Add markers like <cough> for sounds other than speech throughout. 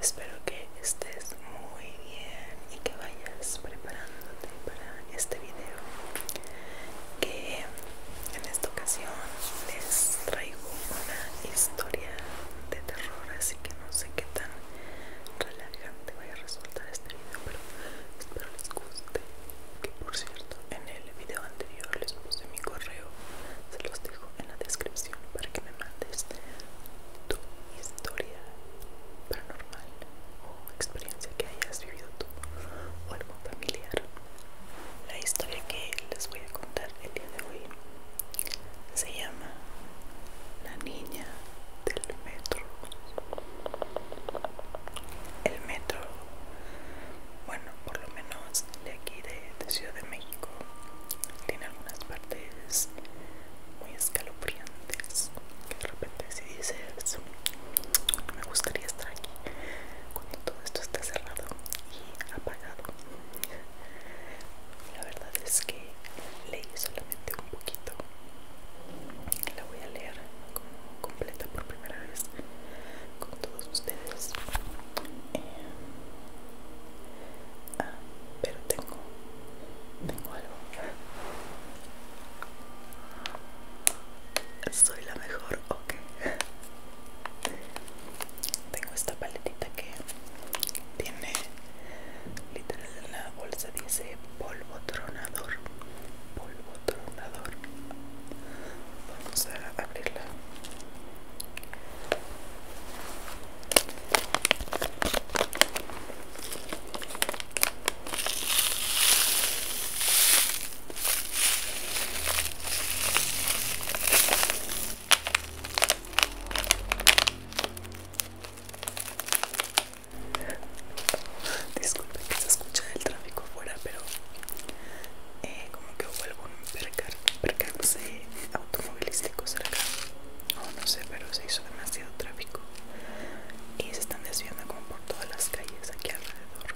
Espero que estés muy bien y que vayas preparándote para este video que en esta ocasión les traigo una historia de terror así que no sé qué tan relajante voy a resultar este video pero espero les guste que por cierto en el video anterior les puse mi correo se los dejo en la descripción para que me mandes tu historia paranormal o experiencia que hayas vivido tú o algo familiar la historia que les voy a contar el día de hoy se llama la niña del metro el metro bueno por lo menos de aquí de, Ciudad de México tiene algunas partes muy escalofriantes que de repente si dices me gustaría estar aquí cuando todo esto está cerrado y apagado la verdad es que leí solamente un poquito la voy a leer como completa por primera vez con todos ustedes eh, ah, pero tengo tengo algo soy la mejor ok tengo esta paletita que tiene literalmente la bolsa dice polvo tronador polvo tronador vamos a abrirla <laughs> Disculpen que se escucha el tráfico fuera, pero eh, como que hubo algún Un percance automovilístico cerca. O no sé, pero se hizo demasiado tráfico. Y se están desviando como por todas las calles aquí alrededor.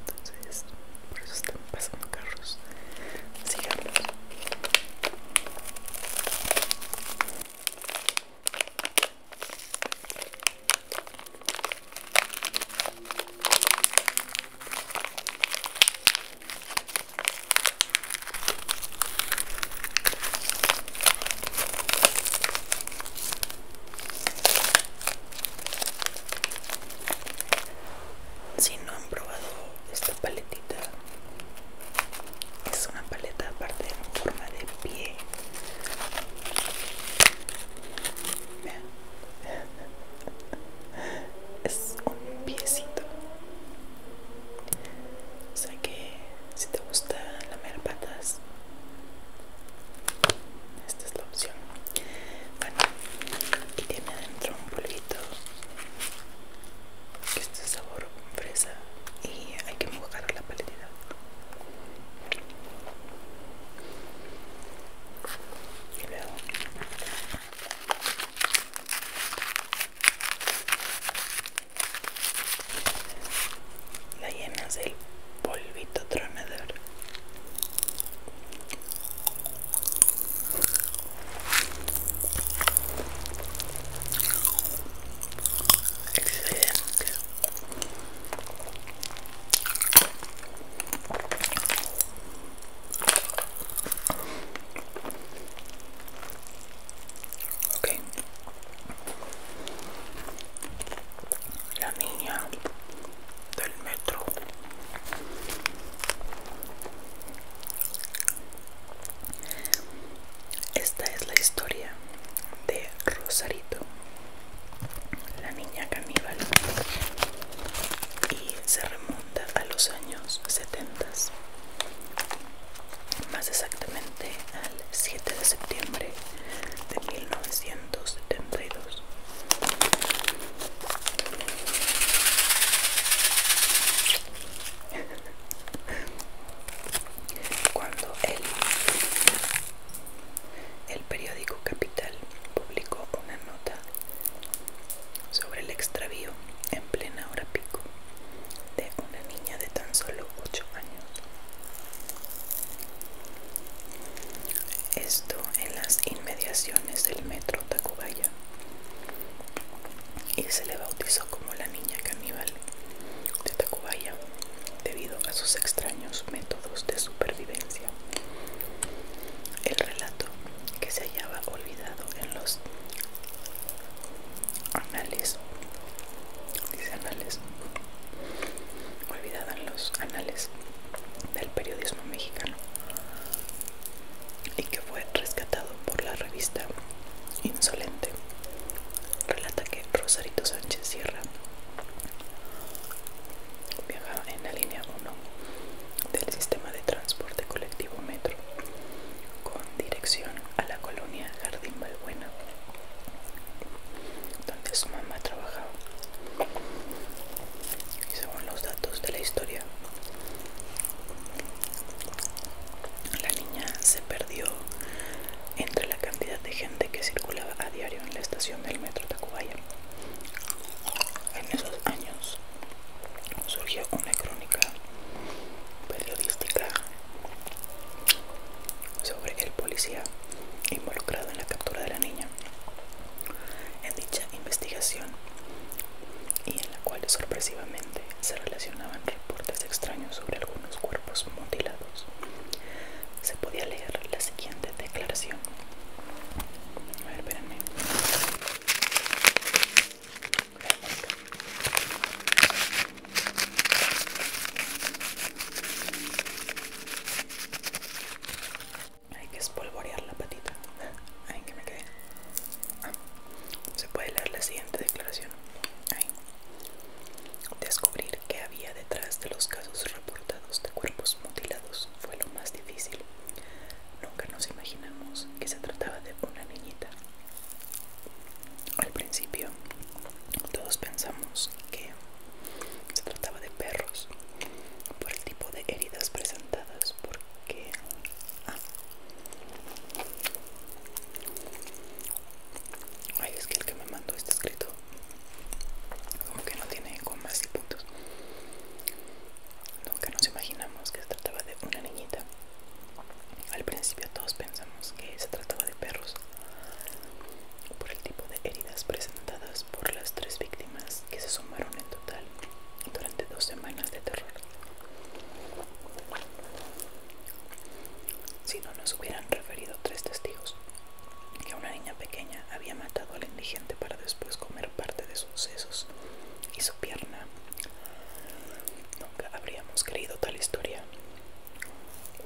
Entonces, por eso están pasando carros. Sigamos. Si no han probado esta paletita es una paleta aparte en forma de pie es un piecito o sea que si te gusta lamer patas esta es la opción bueno y tiene adentro un polvito que este sabor fresa y hay que mojar la paletita y luego la llenas el polvito tronador. Excelente. Ok. La niña del metro. Esta es la historia de Rosarito, la niña caníbal, y se remonta a los años 70, más exactamente al 7 de septiembre de 1972. Cuando el, periódico Capital publicó una nota sobre el extravío en plena hora pico de una niña de tan solo 8 años. Esto en las inmediaciones del metro Tacubaya y se le bautizó como la niña caníbal de Tacubaya debido a sus extraños métodos de supervivencia. El relato que se hallaba olvidado en los anales, dice anales, olvidado en los anales del periodismo mexicano y que fue rescatado por la revista Insolente relata que Rosarito Sánchez Sierra viaja en la línea 1 del sistema de transporte colectivo Metro con dirección a la colonia Jardín Balbuena, donde su mamá trabajaba. Y según los datos de la historia, la niña se perdió entre la cantidad de gente que circulaba a diario en la estación del metro Tacubaya. En esos años surgió una crónica periodística sobre el policía involucrado en la captura de la niña. En dicha investigación y en la cual sorpresivamente se relacionaban reportes extraños sobre algunos cuerpos mutilados se podía leer la siguiente declaración. A ver, espérenme. Hay que espolvorear la patita. Ay, que me ah, se puede leer la siguiente declaración. Descubrir que había detrás de los casos reportados de cuerpos mutilados fue lo más difícil. Nunca nos imaginamos que se trataba de una niñita. Al principio, todos pensamos que se trataba de perros por el tipo de heridas presentadas porque... Ah, Ay, es que el que me mandó este escrito como que no tiene comas y puntos. Nunca nos imaginamos que se trataba de una niñita. Al principio todos pensamos que se trataba de perros por el tipo de heridas presentadas por las tres víctimas que se sumaron en total durante dos semanas de terror si no nos hubieran referido tres testigos que una niña pequeña había matado al indigente para después comer parte de sus sesos y su pierna. Nunca habríamos creído tal historia.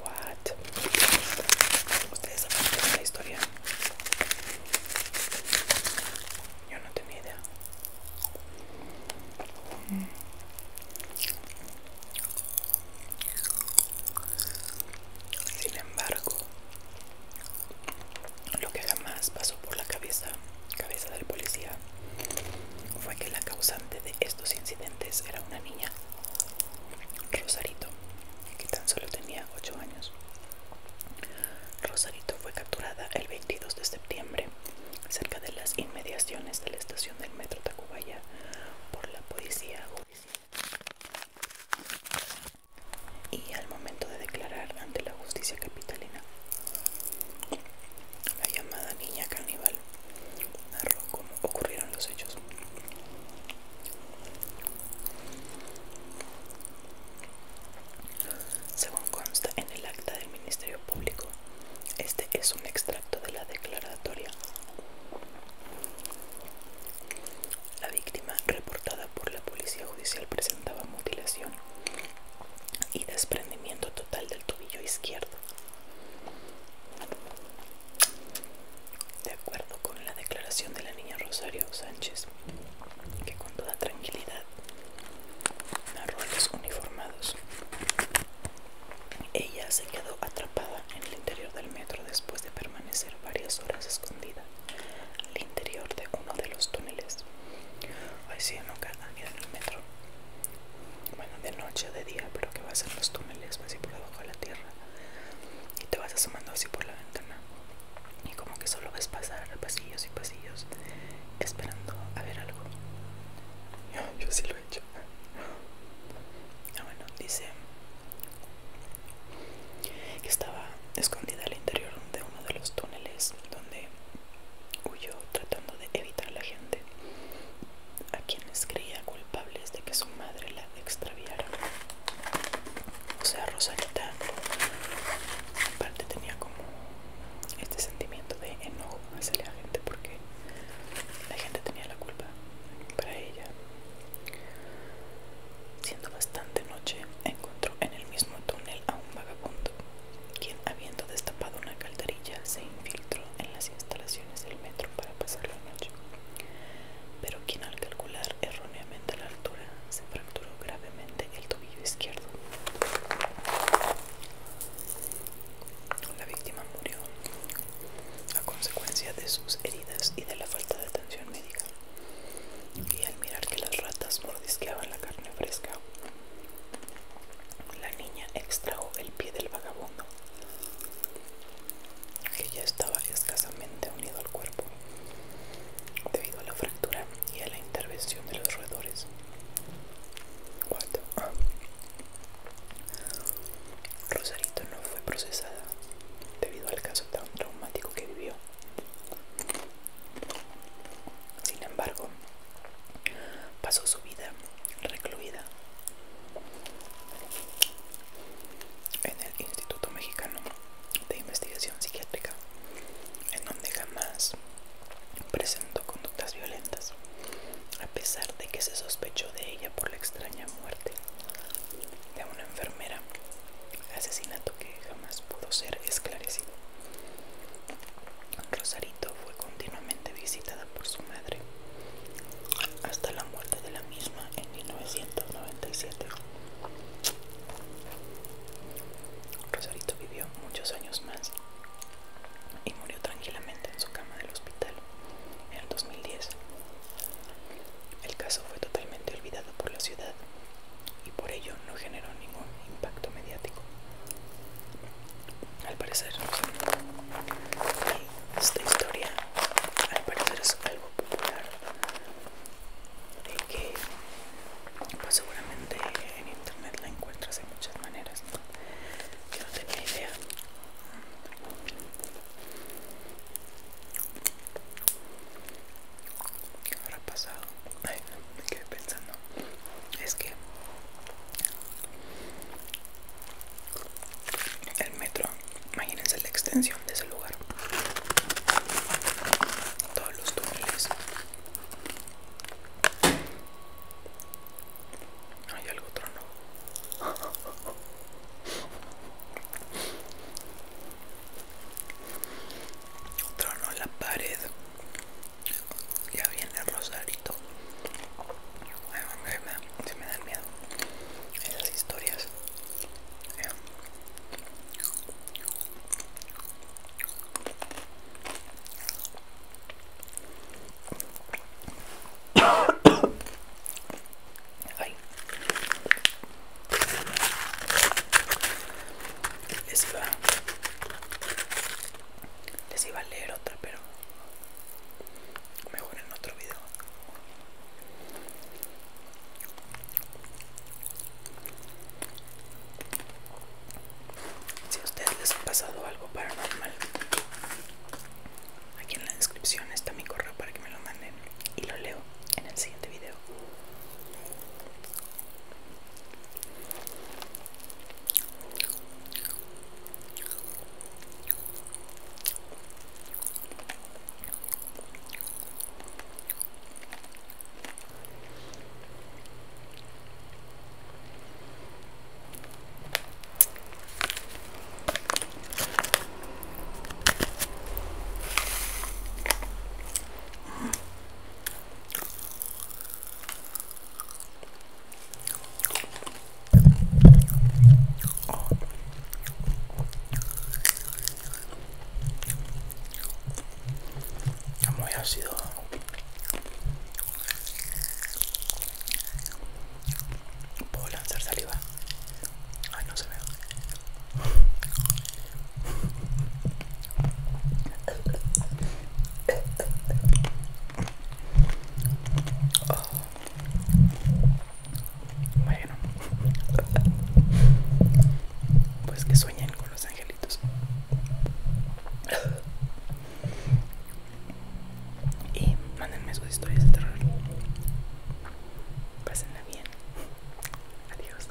¿Qué? ¿Ustedes saben la historia? Yo no tenía idea. Sin embargo, lo que jamás pasó por la cabeza, cabeza del policía fue que la causante de estos incidentes era una niña, Rosarito, que tan solo tenía ocho años. Rosarito fue capturada el 22 de septiembre cerca de las inmediaciones de la estación del metro Tacubaya por la policía judicial y al momento de declarar ante la justicia capitalina la llamada niña caníbal narró cómo ocurrieron los hechos según consta en el acta del ministerio público este es un extracto de la declaratoria la víctima, reportada por la policía judicial, presentaba mutilación y desprendimiento total del tobillo izquierdo. De acuerdo con la declaración de la niña Rosario Sánchez, que con toda tranquilidad narró a los uniformados, ella se quedó atrapada en el interior del metro después de permanecer varias horas escondida al interior de uno de los túneles. Hoy sí, ¿no? Cada día en el metro. Bueno, de noche, de día, pero que vas ser los túneles, vas así por debajo de la tierra y te vas asomando así por la ventana y como que solo ves pasar pasillos y pasillos esperando a ver algo. <laughs> Yo sí lo he hecho. Ah, bueno, dice que estaba escondida al interior de uno de los túneles donde huyó tratando de evitar a la gente a quienes creía culpables de que su madre la extraviara. O sea, Rosalita parte tenía como este sentimiento de enojo hacia la gente porque la gente tenía la culpa para ella. Siendo bastante noche, encontró en el mismo túnel a un vagabundo, quien habiendo destapado una calderilla se infiltró en las instalaciones del metro para pasar la noche, pero quien al calcular erróneamente la altura se fracturó gravemente el tobillo izquierdo. La víctima murió a consecuencia de sus heridas y de la falta de atención médica. Y al mirar que las ratas mordisqueaban la carne fresca, la niña extrajo el pie del vagabundo, que ya estaba escasamente unido al cuerpo debido a la fractura y a la intervención de los roedores. Rosarito no fue procesada debido al caso tan traumático que vivió. Sin embargo, pasó su vida recluida en el Instituto Mexicano de Investigación Psiquiátrica, en donde jamás presentó conductas violentas a pesar de que se sospechó de ella por la extraña muerte de una enfermera, asesinato que jamás pudo ser esclarecido. Rosarito fue continuamente visitada por su madre hasta la muerte de la misma en 1997. Rosarito vivió muchos años más y murió tranquilamente en su cama del hospital en el 2010. El caso fue totalmente olvidado por la ciudad y por ello no generó ningún impacto mediático. Al parecer, esta historia al parecer es algo popular y que pues, seguramente en internet la encuentras de muchas maneras. Que no tenía idea ¿Qué habrá pasado? Ay, me quedé pensando. Es que el metro, imagínense la extensión de ese lugar. Todos los túneles. Hay algo otro no. Trono en la pared. Ya viene el rosarito. Se me dan miedo esas historias. Eh. Les les iba a leer otra, pero mejor en otro video. Si a ustedes les ha pasado algo paranormal Aquí en la descripción está mi correo para que me lo manden y lo leo en el siguiente video muy sido Puedo lanzar saliva. Ay, no se ve. Oh. Bueno, pues que sueñen con los angelitos. Y mándenme sus historias de terror. Pásenla bien. Adiós.